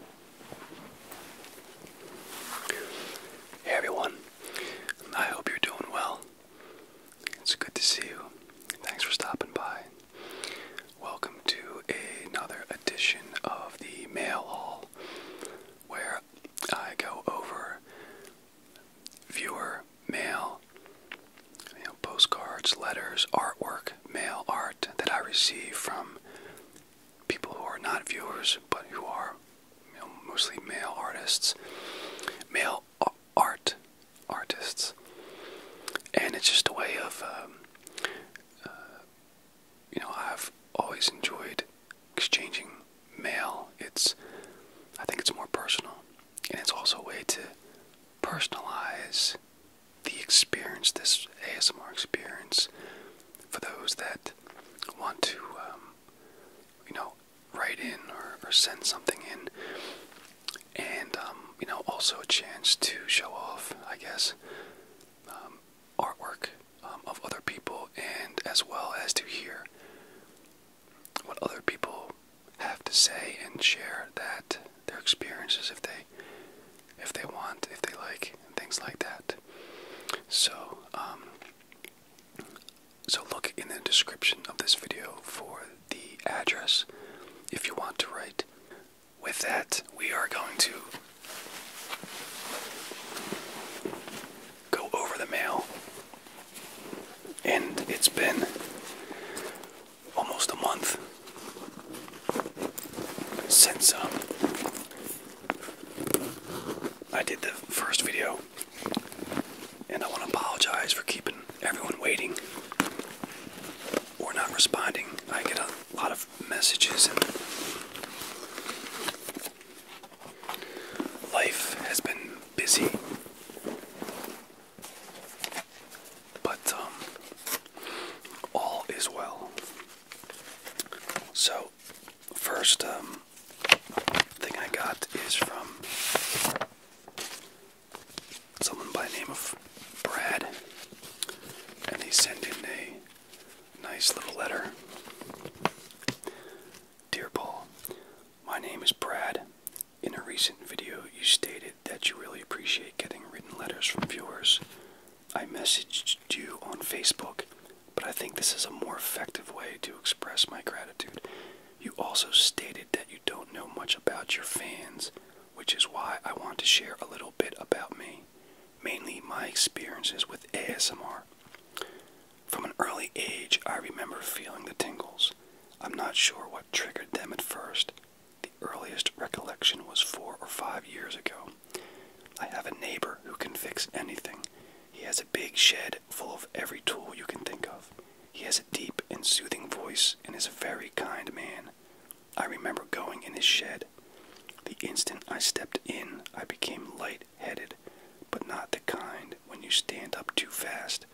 Hey everyone, I hope you're doing well. It's good to see you. Thanks for stopping by. Welcome to another edition of the Mail Hall where I go over viewer mail, postcards, letters, artwork, mail art that I receive from people who are not viewers but who are mostly male artists, male art artists, and it's just a way of um, uh, you know I've always enjoyed exchanging mail. It's I think it's more personal, and it's also a way to personalize the experience, this ASMR experience, for those that want to, um, you know, write in or, or send something in, and um, you know, also a chance to show off, I guess, um, artwork um, of other people, and as well as to hear what other people have to say and share that their experiences if they if they want, if they like, things like that. So, um, so look in the description of this video for the address if you want to write. With that, we are going to go over the mail. And it's been almost a month since um, I did the first video, and I want to apologize for keeping everyone waiting or not responding. I get a lot of messages, and life has been busy. But um, all is well. So, first um, thing I got is from someone by the name of Brad, and he sent in a nice little letter. Dear Paul, my name is Brad. In a recent video, you stated that you really appreciate getting written letters from viewers I messaged you on Facebook, but I think this is a more effective way to express my gratitude. You also stated that you don't know much about your fans, which is why I want to share a little bit about me, mainly my experiences with ASMR. From an early age, I remember feeling the tingles. I'm not sure what triggered them at first. The earliest recollection was four or five years ago. I have a neighbor who can fix anything. He has a big shed full of every tool you can think of. He has a deep and soothing voice and is a very kind man. I remember going in his shed. The instant I stepped in, I became light headed, but not the kind when you stand up too fast.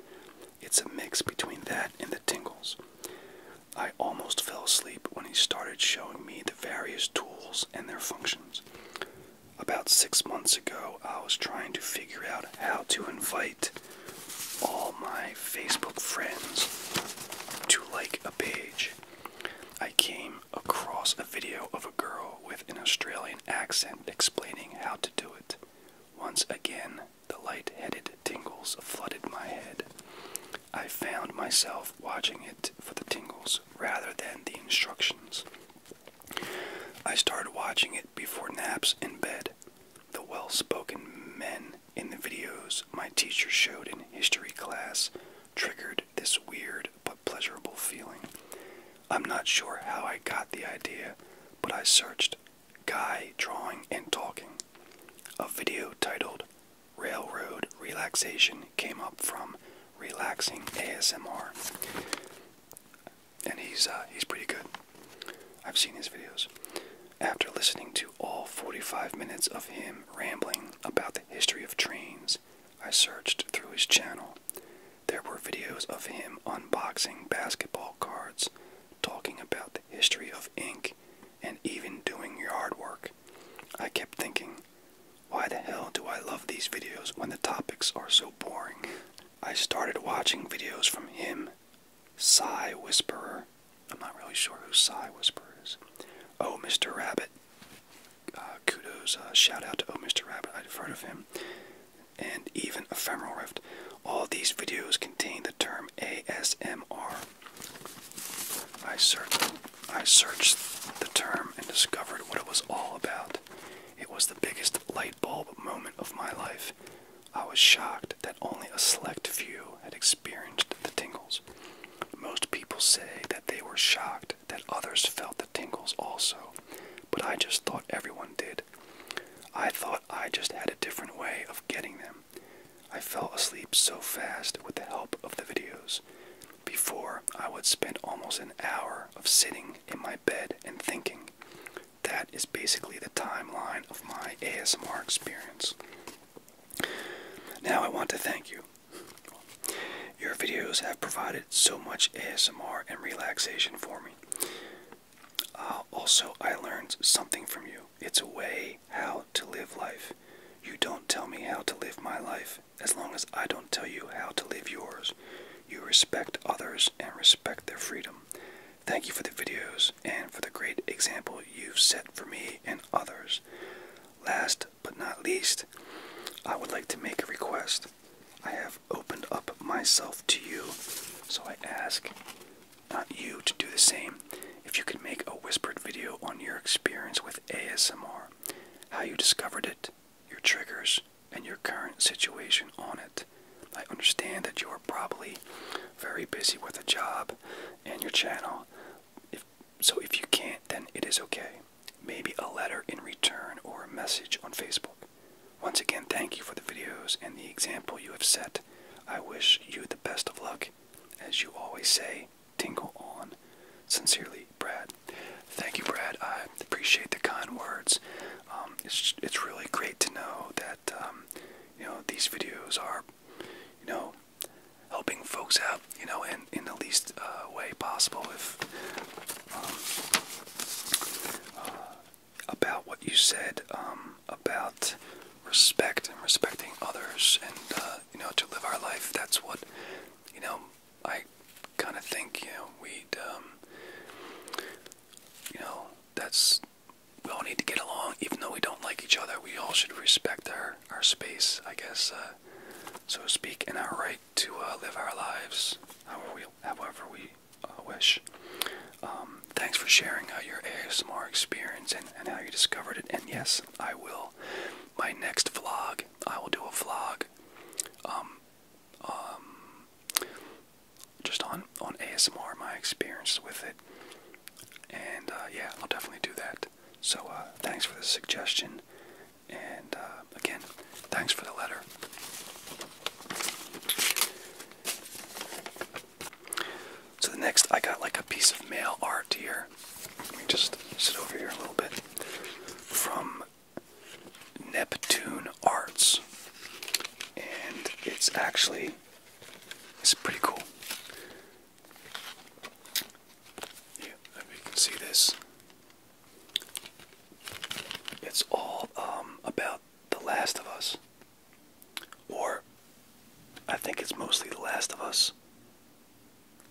It's a mix between that and the tingles. I almost fell asleep when he started showing me the various tools and their functions. About six months ago, I was trying to figure out how to invite all my Facebook friends to like a page. I came across a video of a girl with an Australian accent explaining how to do it. Once again, the light headed tingles flooded my head. I found myself watching it for the tingles rather than the instructions. I started watching it before naps in bed. The well spoken men in the videos my teacher showed in history class triggered this weird but pleasurable feeling. I'm not sure how I got the idea, but I searched Guy Drawing and Talking. A video titled railroad relaxation came up from relaxing ASMR, and he's uh, he's pretty good. I've seen his videos. After listening to all 45 minutes of him rambling about the history of trains, I searched through his channel. There were videos of him unboxing basketball cards, talking about the history of ink, and even doing yard work. I kept thinking, why the hell do I love these videos when the topics are so boring? I started watching videos from him, Sigh Whisperer. I'm not really sure who Sigh Whisperer is. Oh, Mr. Rabbit. Uh, kudos, uh, shout out to Oh, Mr. Rabbit. I've heard of him. And even Ephemeral Rift. All these videos contain the term ASMR, I searched, I searched the term and discovered what it was all about. It was the biggest light bulb moment of my life. I was shocked that only a select few had experienced the tingles. Most people say that they were shocked that others felt the tingles also, but I just thought everyone did. I thought I just had a different way of getting them. I fell asleep so fast with the help of the videos. Before, I would spend almost an hour of sitting in my bed and thinking. That is basically the timeline of my ASMR experience. Now, I want to thank you. Your videos have provided so much ASMR and relaxation for me. Uh, also, I learned something from you. It's a way how to live life. You don't tell me how to live my life as long as I don't tell you how to live yours. You respect others and respect their freedom. Thank you for the videos and for the great example you've set for me and others. Last but not least, I would like to make a request. I have opened up myself to you, so I ask not you to do the same. If you could make a whispered video on your experience with ASMR, how you discovered it, your triggers, and your current situation on it. I understand that you are probably very busy with a job and your channel. If, so if you can't, then it is okay. Maybe a letter in return or a message on Facebook. Once again, thank you for the videos and the example you have set. I wish you the best of luck. As you always say, tingle on. Sincerely, Brad. Thank you, Brad. I appreciate the kind words. Um, it's it's really great to know that um, you know these videos are you know helping folks out you know in in the least uh, way possible. If um, uh, about what you said about respect and respecting others and uh, you know to live our life that's what you know, I kind of think, you know, we um, you know, that's, we all need to get along, even though we don't like each other. We all should respect our, our space, I guess, uh, so to speak, and our right to uh, live our lives however we, however we uh, wish. Um, thanks for sharing your ASMR experience and, and how you discovered it. And yes, I will my next vlog, I will do a vlog, um, um, just on on ASMR, my experience with it, and uh, yeah, I'll definitely do that. So uh, thanks for the suggestion, and uh, again, thanks for the letter. So the next, I got like a piece of mail art here. Let me just sit over here a little bit. From Neptune Arts. And it's actually it's pretty cool. Yeah, you can see this. It's all um, about The Last of Us. Or I think it's mostly The Last of Us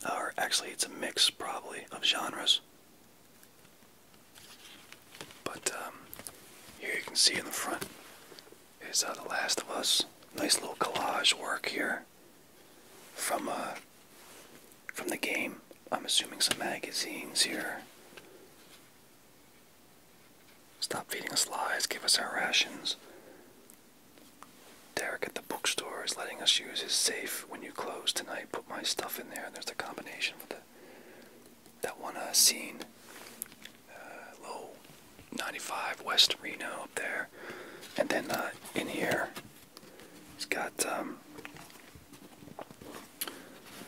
or actually it's a mix probably of genres. But um, here you can see in the front is uh, The Last of Us. Nice little collage work here from uh, from the game. I'm assuming some magazines here. Stop feeding us lies, give us our rations. Derek at the bookstore is letting us use his safe when you close tonight. Put my stuff in there, and there's a combination for the that one uh, scene, uh, low 95 West Reno up there, and then uh, in here, he has got um,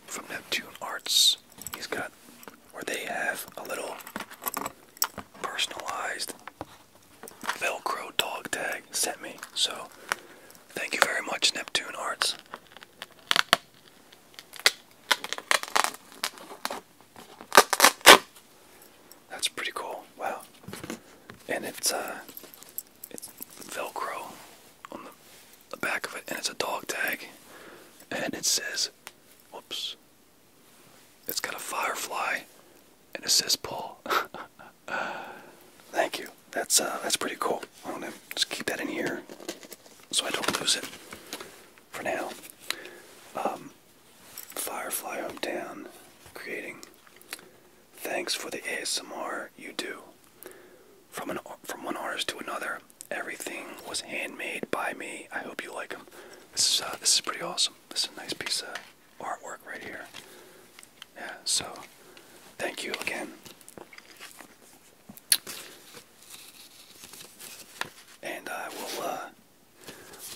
from Neptune Arts. He's got where they have a little personalized Velcro dog tag sent me. So thank you very much, Neptune Arts. That's pretty cool. Wow. And it's uh it's Velcro on the, back of it and it's a dog tag. And it says whoops. It's got a firefly and it says "pull." Thank you. That's uh, that's pretty cool. I'm gonna just keep that in here so I don't lose it for now. Um, Firefly Hometown creating. Thanks for the ASMR you do. From an from one artist to another, everything was handmade by me. I hope you like them. This is uh, this is pretty awesome. This is a nice piece of artwork right here. Yeah, so thank you again. And I will uh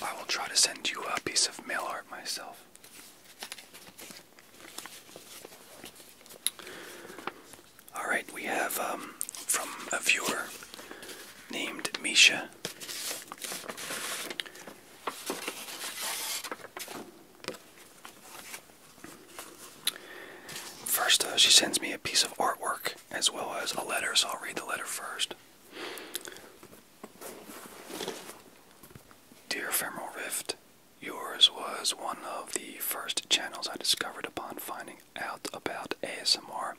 I will try to send you a piece of mail art myself. All right, we have um, from a viewer named Misha. First, she sends me a piece of artwork as well as a letter, so I'll read the letter first. Dear Ephemeral Rift, yours was one of the first channels I discovered upon finding out about ASMR,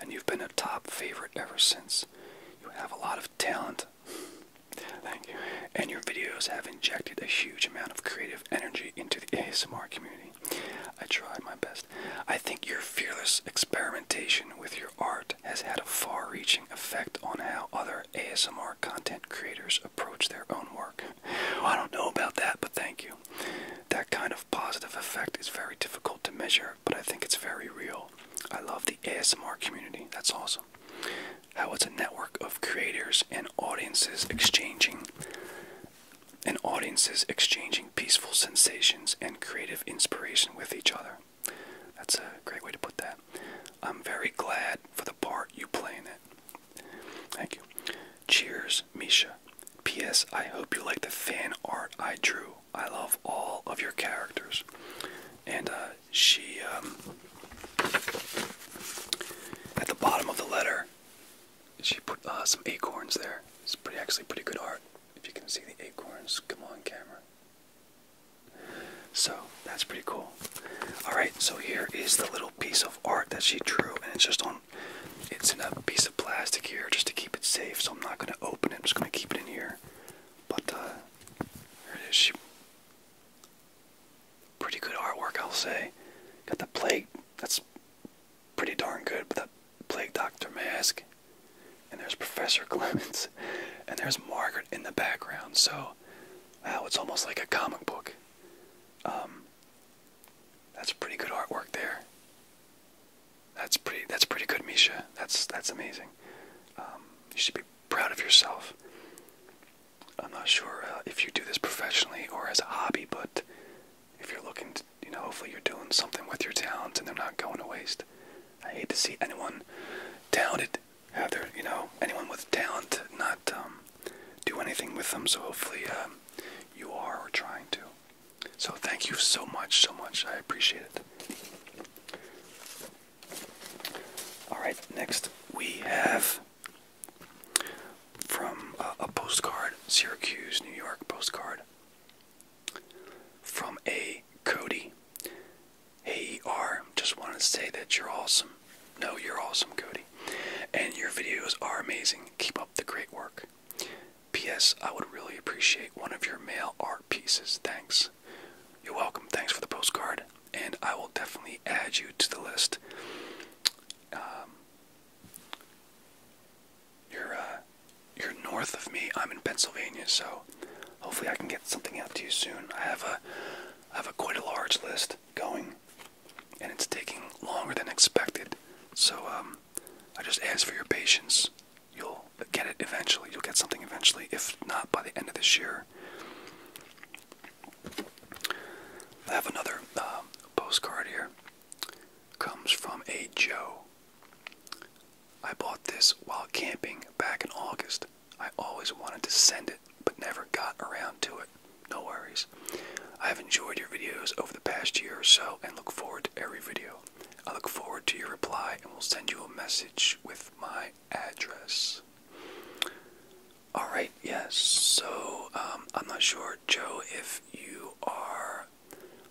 and you've been a top favorite ever since. You have a lot of talent. Thank you. And your videos have injected a huge amount of creative energy into the ASMR community. I tried my best. I think your fearless experimentation with your art has had a far reaching effect on how other ASMR content creators approach their own work. I don't know about that, but thank you. That kind of positive effect is very difficult to measure but I think it's very real. I love the ASMR community. That's awesome. How it's a network of creators and audiences exchanging and audiences exchanging peaceful sensations and creative inspiration with each other. That's a great way to put that. I'm very glad for the part you play in it. Thank you. Cheers, Misha. P.S. I hope you like the fan art I drew I love all of your characters. And uh, she, um, at the bottom of the letter, she put uh, some acorns there. It's pretty, actually pretty good art. If you can see the acorns, come on camera. So that's pretty cool. All right, so here is the little piece of art that she drew, and it's just on. It's in a piece of plastic here, just to keep it safe. So I'm not gonna open it. I'm just gonna keep it in here. But uh, it is. She, pretty good artwork, I'll say. Got the plague. That's pretty darn good. With that plague doctor mask. And there's Professor Clements, And there's Margaret in the background. So, wow, it's almost like a comic book. Um, that's pretty good artwork there. That's pretty. That's pretty good, Misha. That's that's amazing. Um, you should be proud of yourself. I'm not sure uh, if you do this professionally or as a hobby, but if you're looking, you know, hopefully you're doing something with your talents and they're not going to waste. I hate to see anyone talented have their, you know, anyone with talent not um, do anything with them. So hopefully um, you are trying to. So thank you so much, so much. I appreciate it. Alright, next we have from uh, a postcard, Syracuse, New York postcard, from a Cody. Hey, ER, just wanted to say that you're awesome. No, you're awesome, Cody. And your videos are amazing. Keep up the great work. P.S. I would really appreciate one of your mail art pieces. Thanks. You're welcome. Thanks for the postcard. And I will definitely add you to the list. Um, you're, uh, you're north of me. I'm in Pennsylvania, so hopefully I can get something out to you soon. I have a, I have a quite a large list going, and it's taking longer than expected. So um, I just ask for your patience. You'll get it eventually. You'll get something eventually, if not by the end of this year. I have another um, postcard here. Comes from a Joe. I bought this while camping back in August. I always wanted to send it, but never got around to it. No worries. I have enjoyed your videos over the past year or so and look forward to every video. I look forward to your reply and will send you a message with my address. All right, yes. So um, I'm not sure, Joe, if you are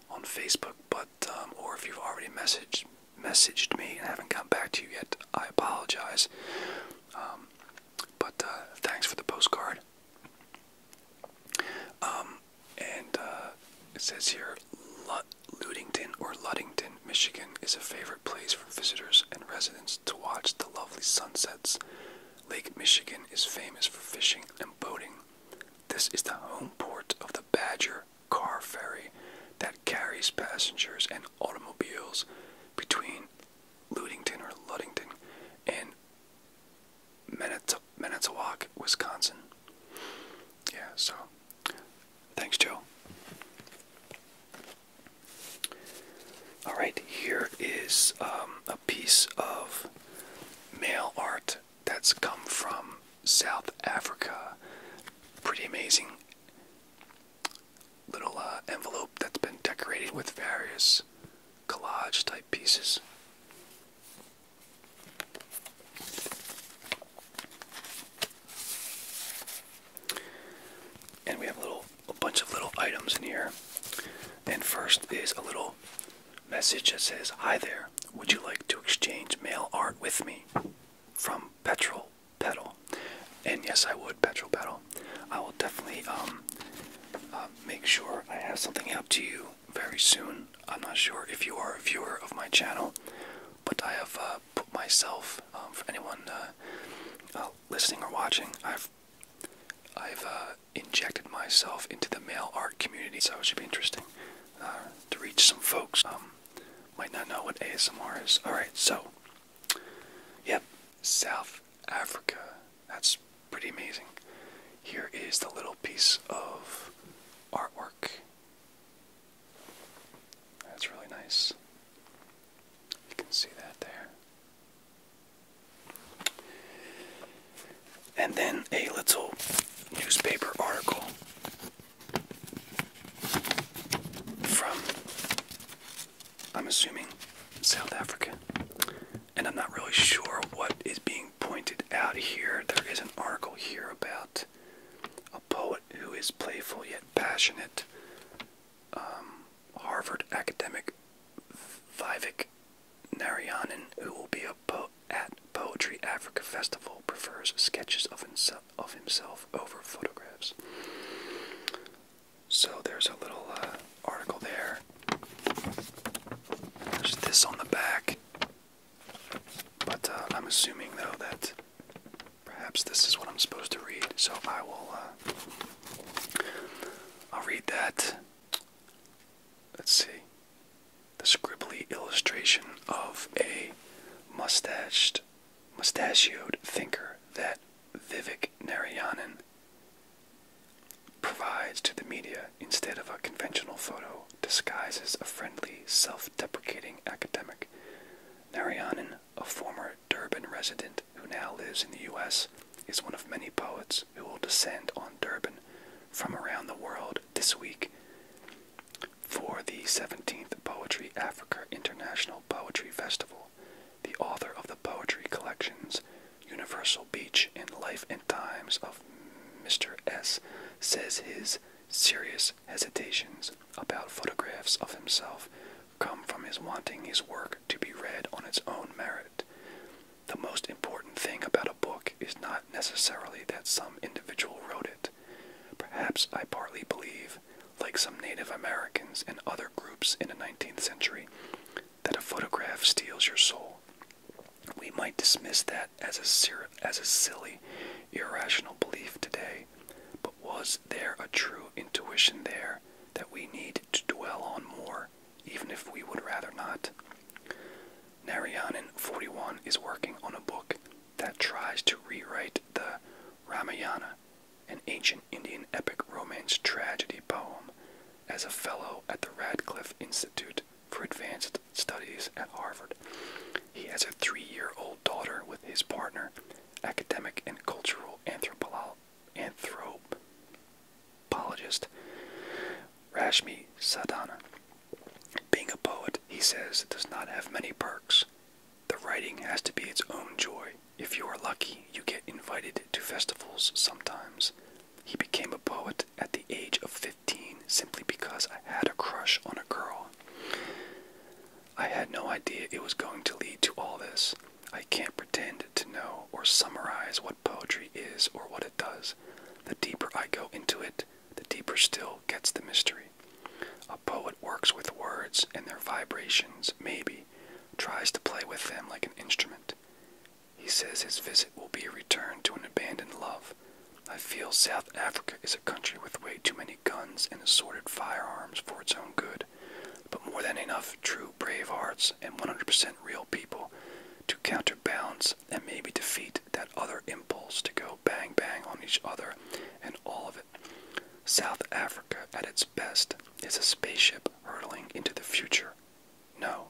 on Facebook, but um, or if you've already messaged messaged me and haven't come back to you yet, I apologize. Um, but uh, thanks for the postcard. and uh, it says here, Ludington or Ludington, Michigan is a favorite place for visitors and residents to watch the lovely sunsets. Lake Michigan is famous for fishing and boating. This is the home port of the Badger car ferry that carries passengers and automobiles between Ludington or Ludington and Manitowoc, Wisconsin. Yeah, so Thanks, Joe. All right, here is um, a piece of mail art that's come from South Africa. Pretty amazing little uh, envelope that's been decorated with various collage type pieces. And we have a little a bunch of little items in here. And first is a little message that says, Hi there, would you like to exchange mail art with me? From Petrol Pedal. And yes, I would, Petrol Pedal. I will definitely um, uh, make sure I have something out to you very soon. I'm not sure if you are a viewer of my channel, but I have uh, put myself um, for anyone uh, uh, listening or watching. I've I've uh, injected myself into the male art community, so it should be interesting to reach some folks um, might not know what ASMR is. All right, so yep, South Africa. That's pretty amazing. Here is the little piece of artwork. That's really nice. You can see that there. And then a little newspaper article from, I'm assuming, South Africa. And I'm not really sure what is being pointed out here. There is an article here about poet who is playful yet passionate. Um, Harvard academic Vivek Narayanan, who will be a po at Poetry Africa Festival, prefers sketches of himself, over photographs. So there's a little uh, article there. There's this on the back. But uh, I'm assuming, though, that Perhaps this is what I'm supposed to read, so I will. Uh, I'll read that. Let's see. The scribbly illustration of a mustached, mustachioed thinker that Vivek Narayanan provides to the media instead of a conventional photo disguises a friendly, self deprecating academic Narayanan, a former Durban resident who now lives in the U.S., is one of many poets who will descend on Durban from around the world this week for the 17th Poetry Africa International Poetry Festival. The author of the poetry collections Universal Beach and Life and Times of Mr. S says his serious hesitations about photographs of himself come from his wanting his work to be read on its own merit. The most important thing about a book is not necessarily that some individual wrote it. Perhaps I partly believe, like some Native Americans and other groups in the 19th century, that a photograph steals your soul. We might dismiss that as a, as a silly, irrational belief today, was there a true intuition there that we need to dwell on more, even if we would rather not? Narayanan 41 is working on a book that tries to rewrite the Ramayana, an ancient Indian epic romance tragedy poem, as a fellow at the Radcliffe Institute for Advanced Studies at Harvard. He has a three year old daughter with his partner, academic and cultural anthropologist Rashmi Sadhana. Being a poet, he says, does not have many perks. The writing has to be its own joy. If you are lucky, you get invited to festivals sometimes. He became a poet at the age of 15 simply because I had a crush on a girl. I had no idea it was going to lead to all this. I can't pretend to know or summarize what poetry is or what it does. The deeper I go into it, the deeper still gets the mystery. A poet works with words and their vibrations, maybe, tries to play with them like an instrument. He says his visit will be a return to an abandoned love. I feel South Africa is a country with way too many guns and assorted firearms for its own good, but more than enough true brave hearts and 100% real people to counterbalance and maybe defeat that other impulse to go bang bang on each other and all of it. South Africa at its best is a spaceship hurtling into the future. No,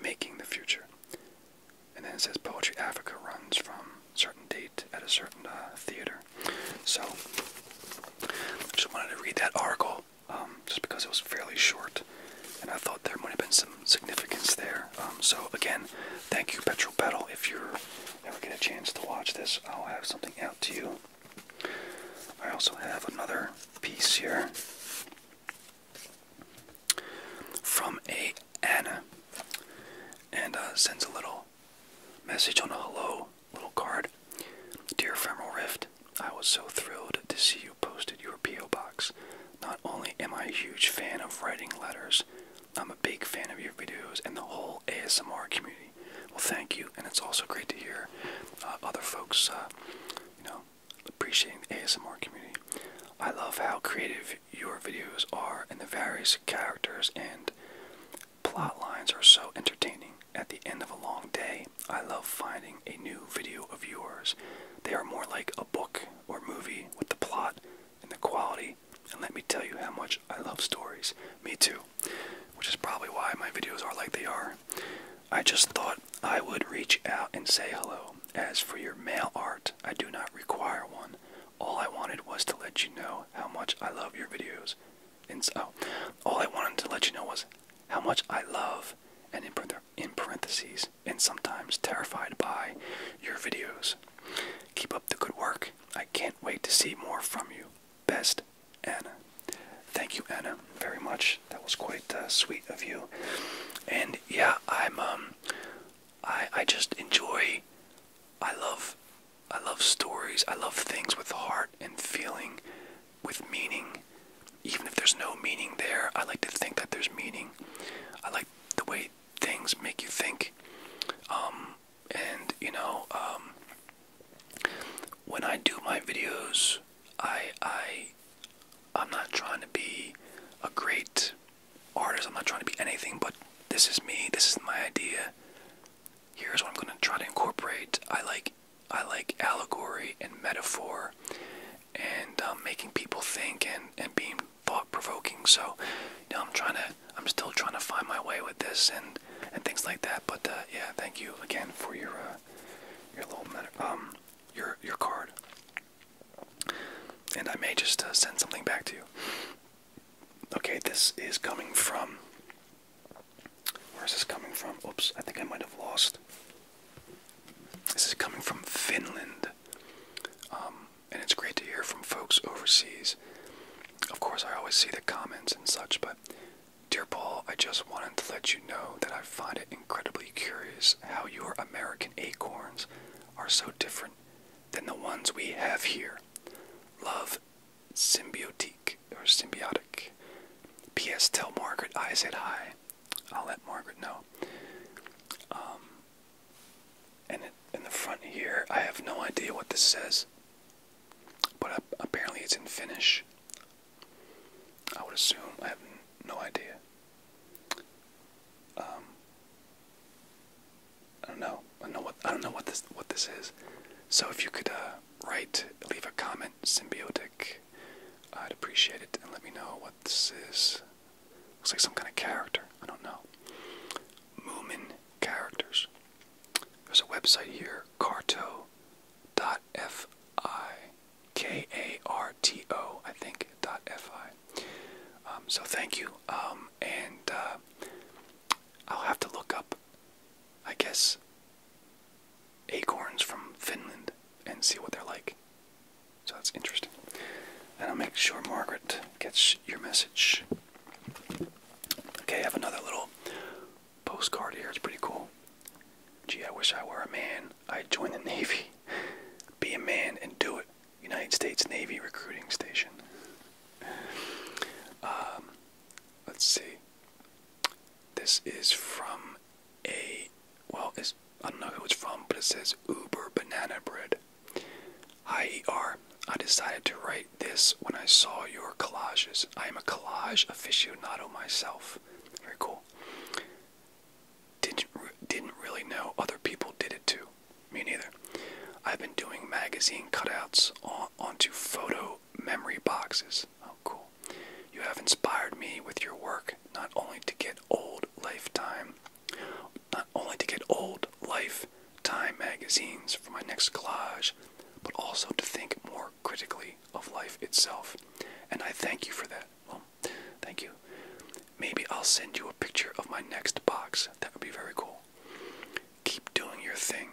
making the future. And then it says Poetry Africa runs from certain date at a certain uh, theater. So I just wanted to read that article um, just because it was fairly short, and I thought there might have been some significance there. Um, so again, thank you, Petrol Pedal. If you ever get a chance to watch this, I'll have something out to you. I also have another piece here from a Anna, and uh, sends a little Message on a hello little card. Dear Ephemeral Rift, I was so thrilled to see you posted your P.O. box. Not only am I a huge fan of writing letters, I'm a big fan of your videos and the whole ASMR community. Well, thank you, and it's also great to hear uh, other folks, uh, you know, appreciating the ASMR community. I love how creative your videos are, and the various characters and plot lines are so entertaining. At the end of a long day, I love finding a new video of yours. They are more like a book or movie with the plot and the quality. And let me tell you how much I love stories. Me too. Which is probably why my videos are like they are. I just thought I would reach out and say hello. As for your mail art, I do not require one. All I wanted was to let you know how much I love your videos. And so, oh, all I wanted to let you know was how much I love, and in parentheses, and sometimes terrified by your videos. Keep up the good work. I can't wait to see more from you. Best, Anna. Thank you, Anna, very much. That was quite uh, sweet of you. And yeah, I'm um, I I just enjoy. I love I love stories. I love things with heart and feeling, with meaning. Even if there's no meaning there, I like to think that there's meaning. I like the way things make you think. Um, and, you know, um, when I do my videos, I, I, I'm not trying to be a great artist. I'm not trying to be anything, but this is me. This is my idea here's what I'm going to try to incorporate. I like I like allegory and metaphor and um, making people think and, and being thought provoking. So, I'm trying to I'm still trying to find my way with this and and things like that. But uh, yeah, thank you again for your uh, your little um your your card. And I may just uh, send something back to you. Okay, this is coming from. Where is this coming from? Oops, I think I might have lost. This is coming from Finland. Um, and it's great to hear from folks overseas. Of course, I always see the comments and such, but dear Paul, I just wanted to let you know that I find it incredibly curious how your American acorns are so different than the ones we have here. Love symbiotique or symbiotic. P.S. Tell Margaret I said hi. I'll let Margaret know. Um, and in the front here, I have no idea what this says, but apparently it's in Finnish. I would assume. I have no idea. Um, I don't know. I don't know what I don't know what this what this is. So if you could uh, write, leave a comment, symbiotic, I'd appreciate it. And let me know what this is. Looks like some kind of character. I don't know. Moomin characters. There's a website here, Carto.fi, K-A-R-T-O, I think. Dot F-I. Um, so thank you, um, and uh, I'll have to look up, I guess, acorns from Finland and see what they're like. So that's interesting. And I'll make sure Margaret gets your message. Okay, I have another little postcard here. It's pretty cool. Gee, I wish I were a man. I'd join the Navy. Be a man and do it. United States Navy Recruiting Station. Um, let's see. This is from a well, it's, I don't know who it's from, but it says Uber Banana Bread. Hi I decided to write this when I saw your collages. I am a collage aficionado myself. Very cool. Didn't didn't really know other people did it too me neither. I've been doing magazine cutouts on, onto photo memory boxes. Oh, cool. You have inspired me with your work not only to get old lifetime, not only to get old lifetime magazines for my next collage, but also to think more critically of life itself. And I thank you for that. Well, thank you. Maybe I'll send you a picture of my next box. That would be very cool. Keep doing your thing.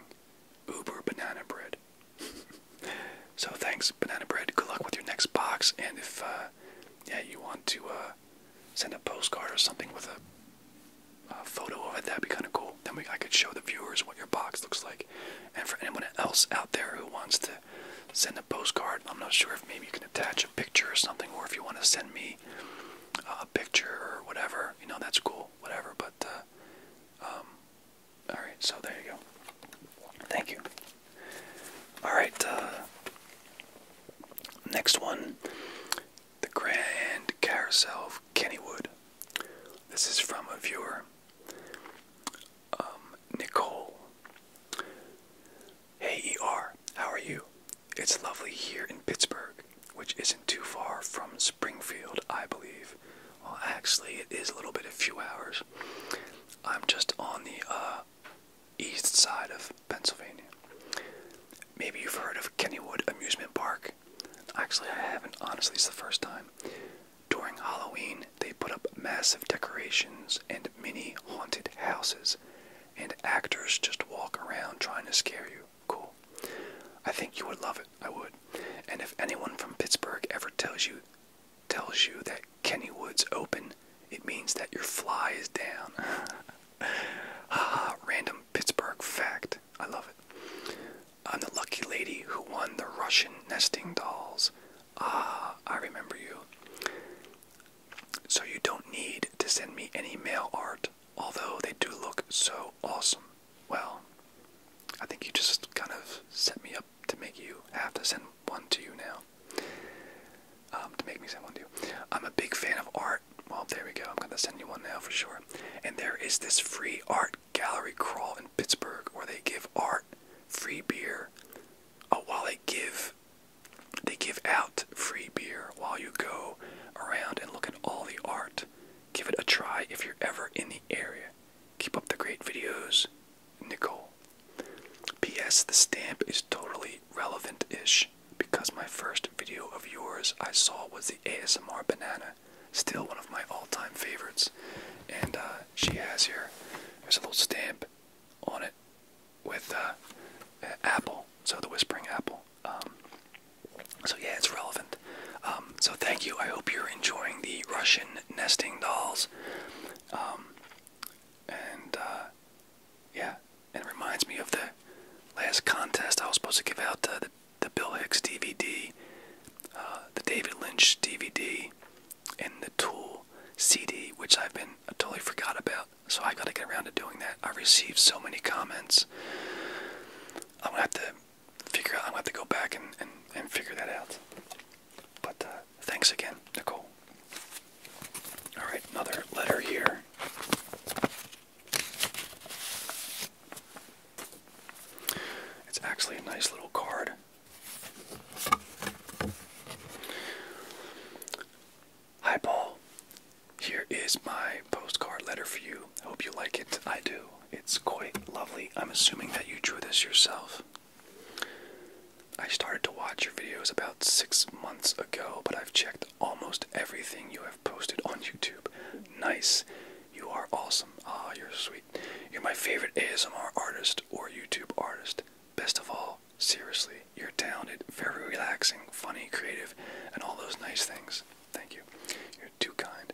Uber banana bread. so thanks, banana bread. Good luck with your next box. And if uh, yeah, you want to uh, send a postcard or something with a, a photo of it, that'd be kind of cool. Then we I could show the viewers what your box looks like. And for anyone else out there who wants to send a postcard, I'm not sure if maybe you can attach a picture or something, or if you want to send me uh, a picture or whatever, you know, that's cool whatever. But uh, um, all right, so there you go. Thank you. All right, uh, next one, the Grand Carousel of Kennywood. This is from a viewer, um, Nicole. Hey ER, how are you? It's lovely here in Pittsburgh, which isn't too far from Springfield, I believe. Well, actually, it is a little bit, a few hours. I'm just on the uh, east side of Pennsylvania. Maybe you've heard of Kennywood Amusement Park. Actually, I haven't. Honestly, it's the first time. During Halloween, they put up massive decorations and mini haunted houses, and actors just walk around trying to scare you. Cool. I think you would love it. I would. And if anyone from Pittsburgh ever tells you tells you that Kennywood's open, it means that your fly is down. Haha, random Pittsburgh fact. I love it. I'm the lucky lady who won the Russian nesting dolls. Ah, I remember you. So you don't need to send me any mail art although they do look so awesome. Well, I think you just kind of set me up to make you have to send one to you now. Um, to make me send one to you. I'm a big fan of art. Well, there we go. I'm going to send you one now for sure. And there is this free art gallery crawl in Pittsburgh where they give art, free beer, uh, while they give they give out free beer while you go around and look at all the art Give it a try if you're ever in the area. Keep up the great videos, Nicole. P.S. The stamp is totally relevant ish because my first video of yours I saw was the ASMR banana, still one of my all time favorites. And uh, she has here, there's a little stamp on it with uh, apple, so the whispering apple. Um, so yeah, it's relevant. Um, so thank you. I hope you're enjoying the Russian nesting dolls. Um, and uh, yeah, it reminds me of the last contest I was supposed to give out uh, the the Bill Hicks DVD, uh, the David Lynch DVD, and the Tool CD, which I've been totally forgot about. So I got to get around to doing that. I received so many comments I'm gonna have to figure out. I'm gonna have to go back and and, and figure that out. But uh, thanks again, Nicole. All right, another letter here. It's actually a nice little card. Hi, Paul. Here is my postcard letter for you. Hope you like it. I do. It's quite lovely. I'm assuming that you drew this yourself. I started to watch your videos about six months ago, but I've checked almost everything you have posted on YouTube. Nice. You are awesome. Ah, you're sweet. You're my favorite ASMR artist or YouTube artist. Best of all, seriously, you're talented, very relaxing, funny, creative, and all those nice things. Thank you. You're too kind.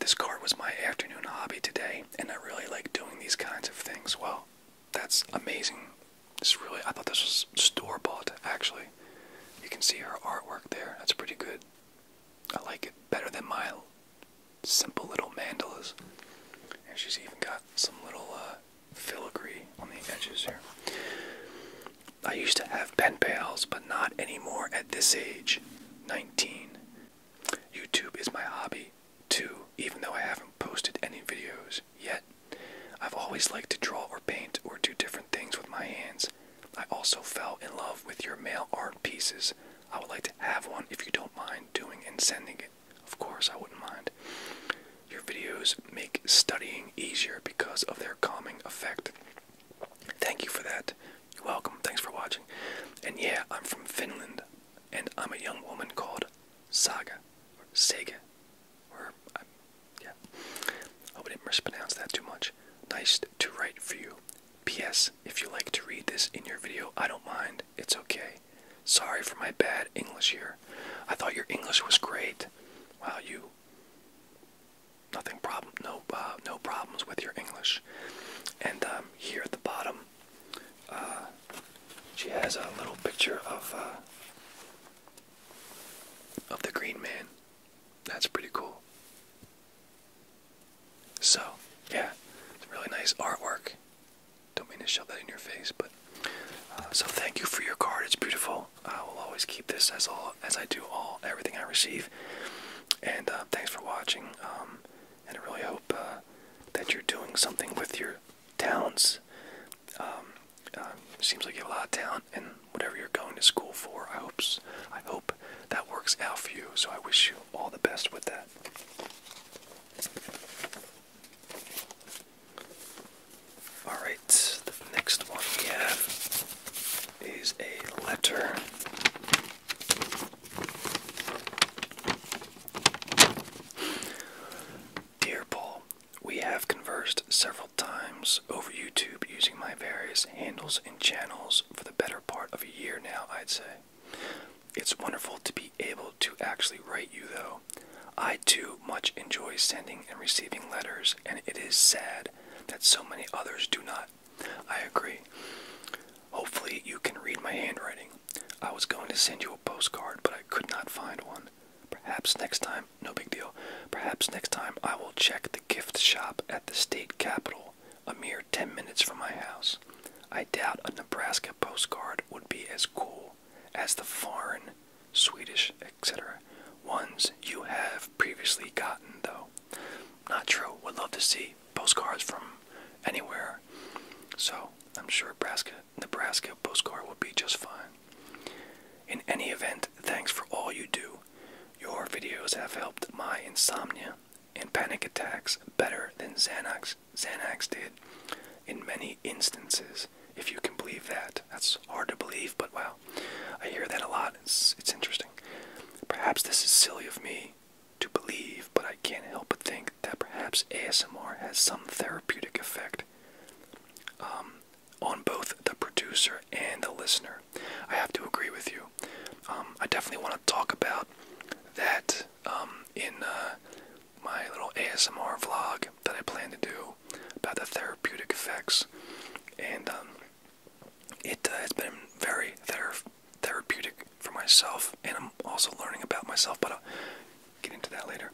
This card was my afternoon hobby today, and I really like doing these kinds of things. Well, that's amazing. This really, I thought this was store bought, actually. You can see her artwork there. That's pretty good. I like it better than my simple little mandalas. And she's even got some little uh, filigree on the edges here. I used to have pen pals, but not anymore at this age 19. YouTube is my hobby, too, even though I haven't posted any videos yet. I've always liked to draw or paint or do different things with my hands. I also fell in love with your mail art pieces. I would like to have one if you don't mind doing and sending it. Of course, I wouldn't mind. Your videos make studying easier because of their calming effect. Thank you for that. You're welcome. Thanks for watching. And yeah, I'm from Finland, and I'm a young woman called Saga, or Sega, or um, yeah. Hope I didn't mispronounce that too much. Nice to write for you. P.S. If you like to read this in your video, I don't mind. It's okay. Sorry for my bad English here. I thought your English was great. Wow, you nothing problem, no, uh, no problems with your English. And um, here at the bottom, uh, she has a little picture of uh, of the Green Man. That's pretty cool. So, yeah, really nice artwork. Don't mean to show that in your face, but so thank you for your card. It's beautiful. I will always keep this as all as I do all everything I receive. And uh, thanks for watching. Um, and I really hope uh, that you're doing something with your talents. Um, uh, seems like you have a lot of talent, and whatever you're going to school for, I hope I hope that works out for you. So I wish you all the best with that. All right the next one we have is a letter. Dear Paul, we have conversed several times over YouTube using my various handles and channels for the better part of a year now, I'd say. It's wonderful to be able to actually write you, though. I too much enjoy sending and receiving letters, and it is sad that so many others do not. I agree. Hopefully, you can read my handwriting. I was going to send you a postcard, but I could not find one. Perhaps next time, no big deal, perhaps next time I will check the gift shop at the state capitol, a mere 10 minutes from my house. I doubt a Nebraska postcard would be as cool as the foreign, Swedish, etc. ones you have previously gotten, though. Not true. Would love to see postcards from anywhere. So I'm sure Nebraska, Nebraska postcard would be just fine. In any event, thanks for all you do. Your videos have helped my insomnia and panic attacks better than Xanax, Xanax did in many instances, if you can believe that. That's hard to believe, but wow. I hear that a lot. It's, it's interesting. Perhaps this is silly of me to believe, but I can't help but think that perhaps ASMR has some therapeutic effect um, on both the producer and the listener. I have to agree with you. Um, I definitely want to talk about that um, in uh, my little ASMR vlog that I plan to do about the therapeutic effects. And it has uh, been very therapeutic for myself, and I'm also learning about myself, but I'll get into that later.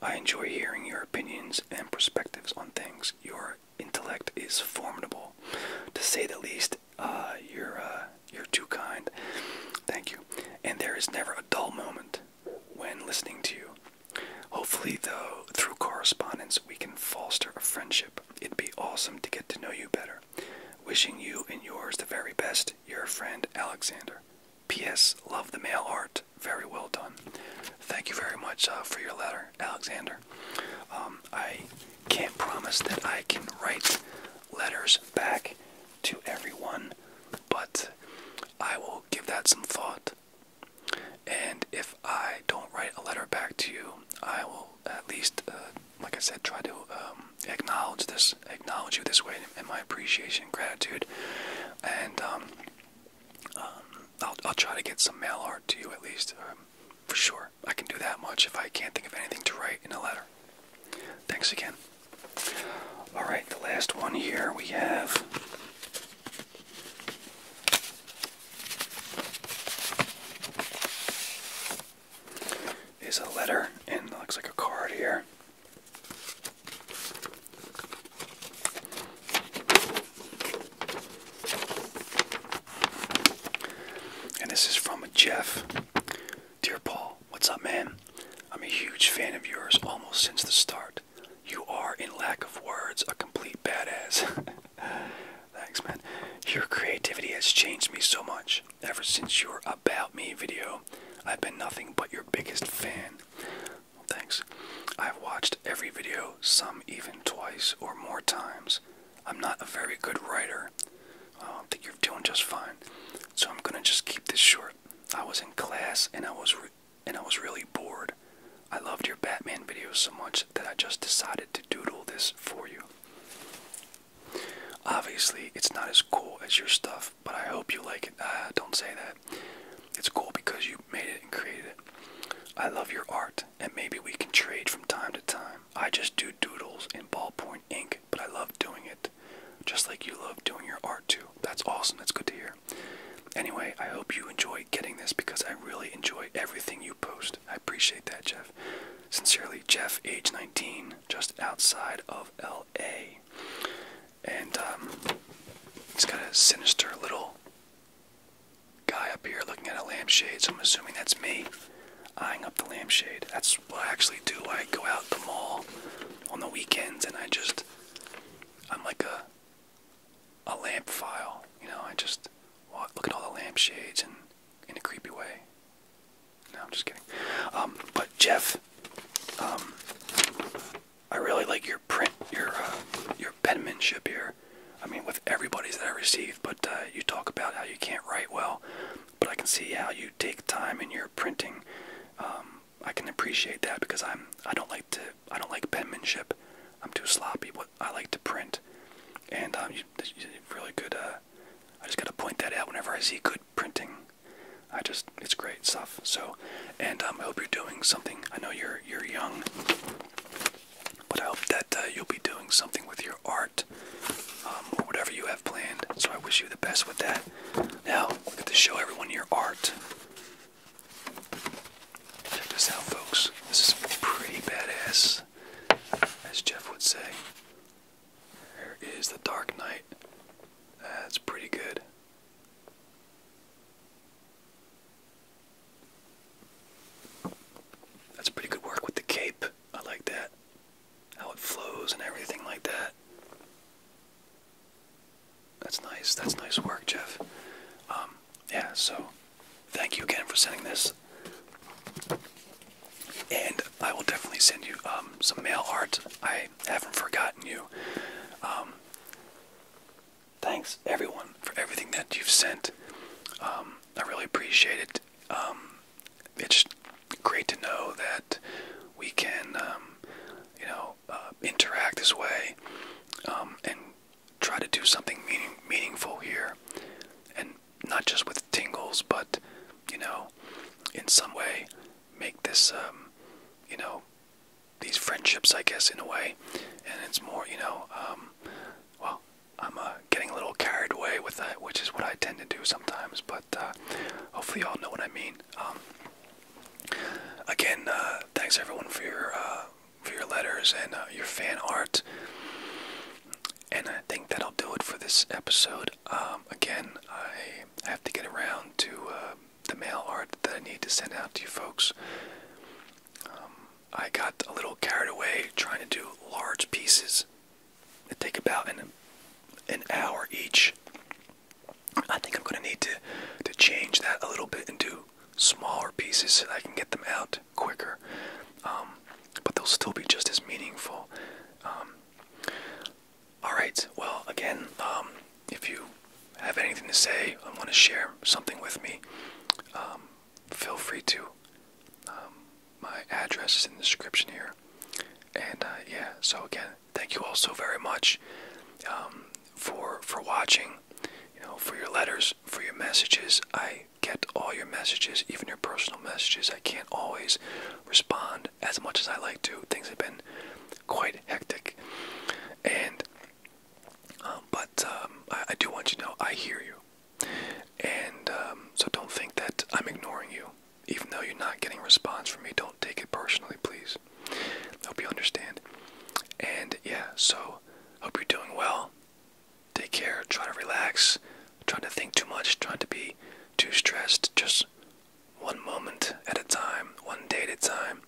I enjoy hearing your opinions and perspectives on things. Your intellect is formidable, to say the least. Uh, you're uh, you're too kind. Thank you. And there is never a dull moment when listening to you. Hopefully, though, through correspondence, we can foster a friendship It'd be awesome to get to know you better. Wishing you and yours the very best, your friend Alexander. P.S. Love the mail art. Very well done. Thank you very much uh, for your letter, Alexander. Um, I can't promise that I can write letters back to everyone, but I will give that some thought. And if I don't write a letter back to you, I will at least, uh, like I said, try to um, acknowledge this, acknowledge you this way, in my appreciation, gratitude, and um, um, I'll, try to get some mail art to you at least, uh, for sure. I can do that much if I can't think of anything to write in a letter. Thanks again. All right, the last one here we have is a letter and looks like a card here. And this is from Jeff. Dear Paul, what's up, man? I'm a huge fan of yours almost since the start. You are, in lack of words, a complete badass. Thanks, man. Your creativity has changed me so much. Ever since your About Me video, I've been nothing but your biggest fan. Thanks. I've watched every video, some even twice or more times. I'm not a very good writer. I think you're doing just fine. So I'm gonna just keep this short. I was in class and I was and I was really bored. I loved your Batman video so much that I just decided to doodle this for you. Obviously, it's not as cool as your stuff, but I hope you like it. Uh, don't say that. It's cool because you made it and created it. I love your art, and maybe we can trade from time to time. I just do doodles in ballpoint ink, but I love doing it. Just like you love doing your art too. That's awesome. That's good to hear. Anyway, I hope you enjoy getting this because I. I really enjoy everything you post. I appreciate that, Jeff. Sincerely, Jeff, age 19, just outside of LA. And um, it's got a sinister little guy up here looking at a lampshade, so I'm assuming that's me eyeing up the lampshade. That's what I actually do. I go out the mall on the weekends and I just, I'm like a a lamp file. You know, I just look at all the lamp shades and in a creepy way. No, I'm just kidding. Um, but Jeff, um, I really like your print, your uh, your penmanship here. I mean, with everybody's that I receive, but uh, you talk about how you can't write well, but I can see how you take time in your printing. Um, I can appreciate that because I'm I don't like to I don't like penmanship. I'm too sloppy. What I like to print, and um, you, really good. Uh, I just gotta point that out whenever I see good printing. I just it's great stuff. So, and um, I hope you're doing something. I know you're you're young, but I hope that uh, you'll be doing something with your art um, or whatever you have planned. So I wish you the best with that. Now, we get to show everyone your art. Check this out, folks. This is pretty badass, as Jeff would say. Here is the Dark Knight. That's pretty good. That's pretty good work with the cape. I like that. How it flows and everything like that. That's nice. That's nice work, Jeff. Um, yeah, so thank you again for sending this. And I will definitely send you um, some mail art. I haven't forgotten you. Um, thanks, everyone, for everything that you've sent. Um, I really appreciate it. it's great to know that we can, you know, uh, interact this way and try to do something meaningful here, and not just with tingles, but you know, in some way, make this um, you know these friendships, I guess, in a way, and it's more you know um, well. I'm uh, getting a little carried away with that, which is what I tend to do sometimes, but uh, hopefully, y'all know what I mean. Um, again, uh, thanks everyone for your for your letters and uh, your fan art. And I think that'll do it for this episode. Um, again, I have to get around to uh, the mail art that I need to send out to you folks. Um, I got a little carried away trying to do large pieces that take about an, an hour each. I think I'm going to need to, to change that a little bit and do smaller pieces so I can get them out quicker. Um, but they'll still be just as meaningful. Um, Alright, well, again, um, if you have anything to say, I want to share something with me, feel free to. my address is in the description here. And uh, yeah, so again, thank you all so very much for for watching, you know, for your letters, for your messages. I get all your messages, even your personal messages. I can't always respond as much as I like to. Things have been quite hectic. And, um, but um, I, do want you to know I hear you. And um, so don't think that I'm ignoring you. Even though you're not getting response from me, don't take it personally, please. Hope you understand. And yeah, so hope you're doing well take care, Try to relax, trying to think too much, trying to be too stressed, just one moment at a time, one day at a time.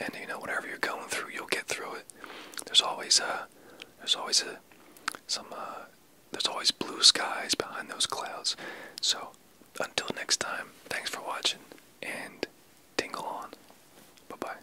And you know, whatever you're going through, you'll get through it. There's always a. Uh, there's always a some uh, there's always blue skies behind those clouds. So until next time, thanks for watching and tingle on. Bye bye.